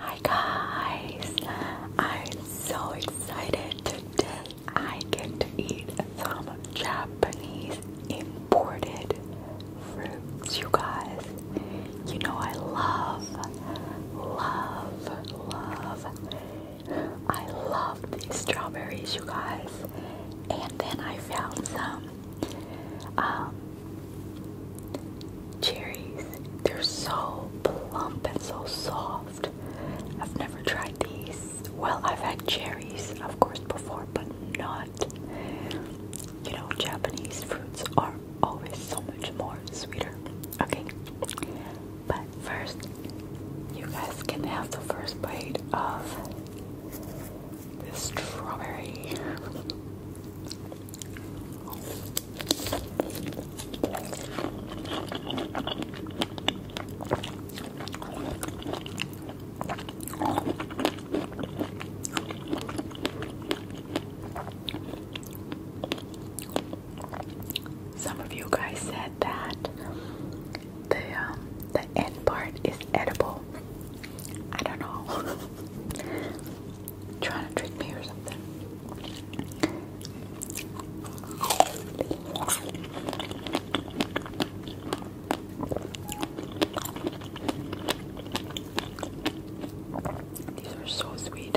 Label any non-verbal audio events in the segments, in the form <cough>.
Hi guys! I'm so excited today I get to eat some Japanese imported fruits, you guys. You know I love, love, love. I love these strawberries, you guys. And then I found some um, cherries, they're so plump and so soft. I've never tried these. Well, I've had cherries, of course, before, but not. You know, Japanese fruits are always so much more sweeter. Okay, but first, you guys can have the first bite of this strawberry. Some of you guys said that the um, the end part is edible. I don't know. <laughs> Trying to trick me or something. These are so sweet.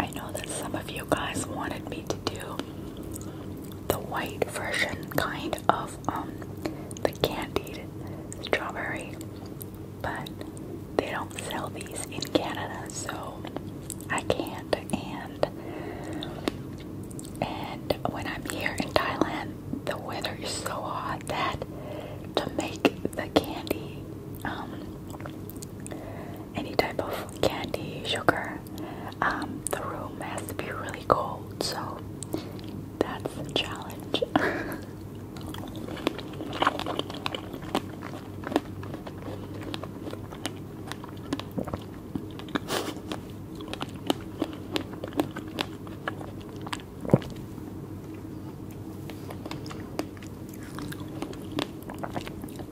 I know that some of you guys wanted me to do the white version kind of um, the candied strawberry but they don't sell these in Canada so I can't and and when I'm here in Thailand the weather is so hot that to make the candy um, any type of candy, sugar, um, the room has to be really cold, so that's the challenge. <laughs>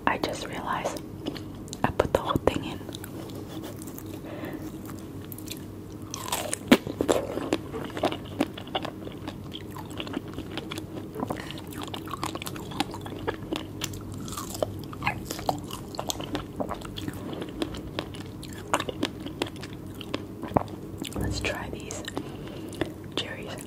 I just realized I put the whole thing in. Let's try these cherries.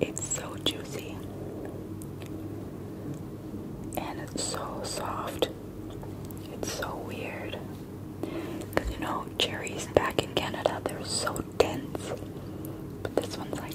It's so juicy and it's so soft. It's so weird. Because you know, cherries back in Canada, they're so dense. But this one's like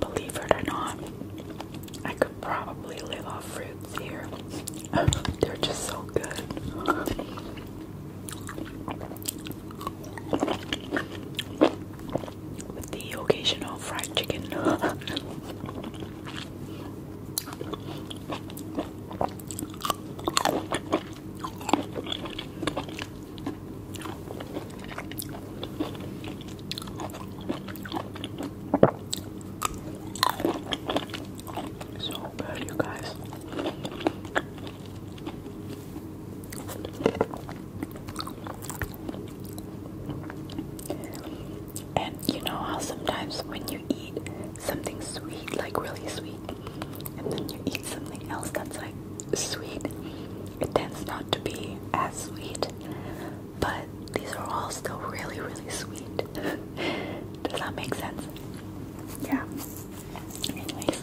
Believe it or not, I could probably live off fruits here. <laughs> They're just so good. With the occasional fried chicken. <laughs> So bad, you guys. And you know how sometimes when you eat something sweet, like really sweet, and then you eat something else that's like sweet, it tends not to be as sweet. But these are all still really, really sweet. <laughs> Does that make sense? Yeah. Anyways.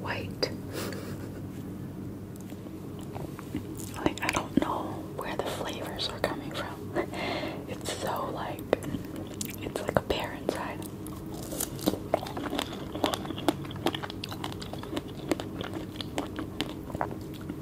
White. Like, I don't know where the flavors are coming from. <laughs> It's so like, it's like a pear inside.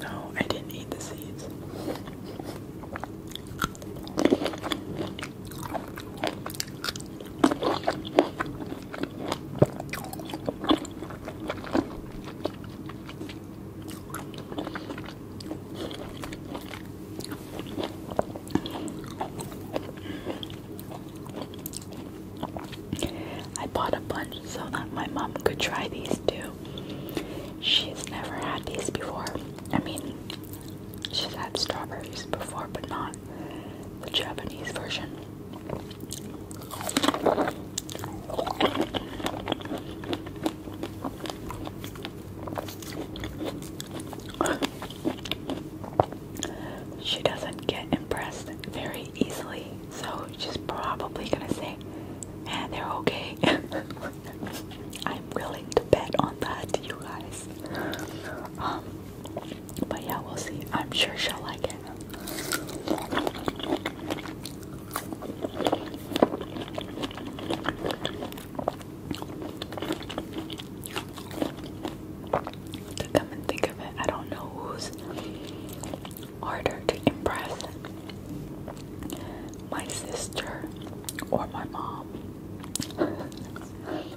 No, I didn't eat the seeds. I bought a bunch so that my mom could try these too. She's never had these before. I mean, She's had strawberries before, but not the Japanese version. She doesn't get impressed very easily, so she's probably gonna say, "And eh, they're okay. <laughs> I'm willing to bet on that, you guys. Um, but yeah, we'll see. I'm sure she'll like it. To come and think of it, I don't know who's harder to impress my sister or my mom. <laughs>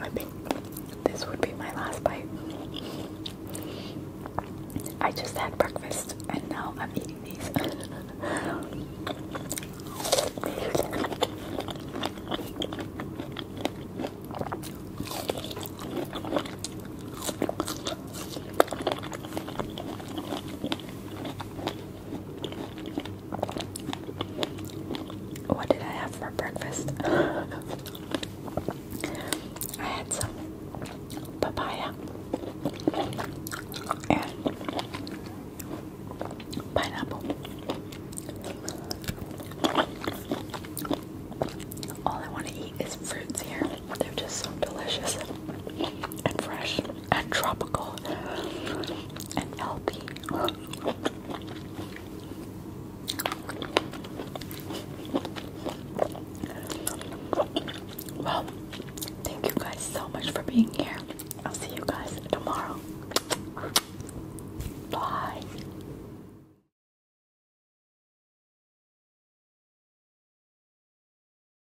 I think this would be my last bite. I just had breakfast and now I'm eating these. What did I have for breakfast? <laughs> I had some papaya and pineapple. All I want to eat is fruits here. They're just so delicious and fresh and tropical and healthy. Well, thank you guys so much for being here. I'll see you guys tomorrow. Bye.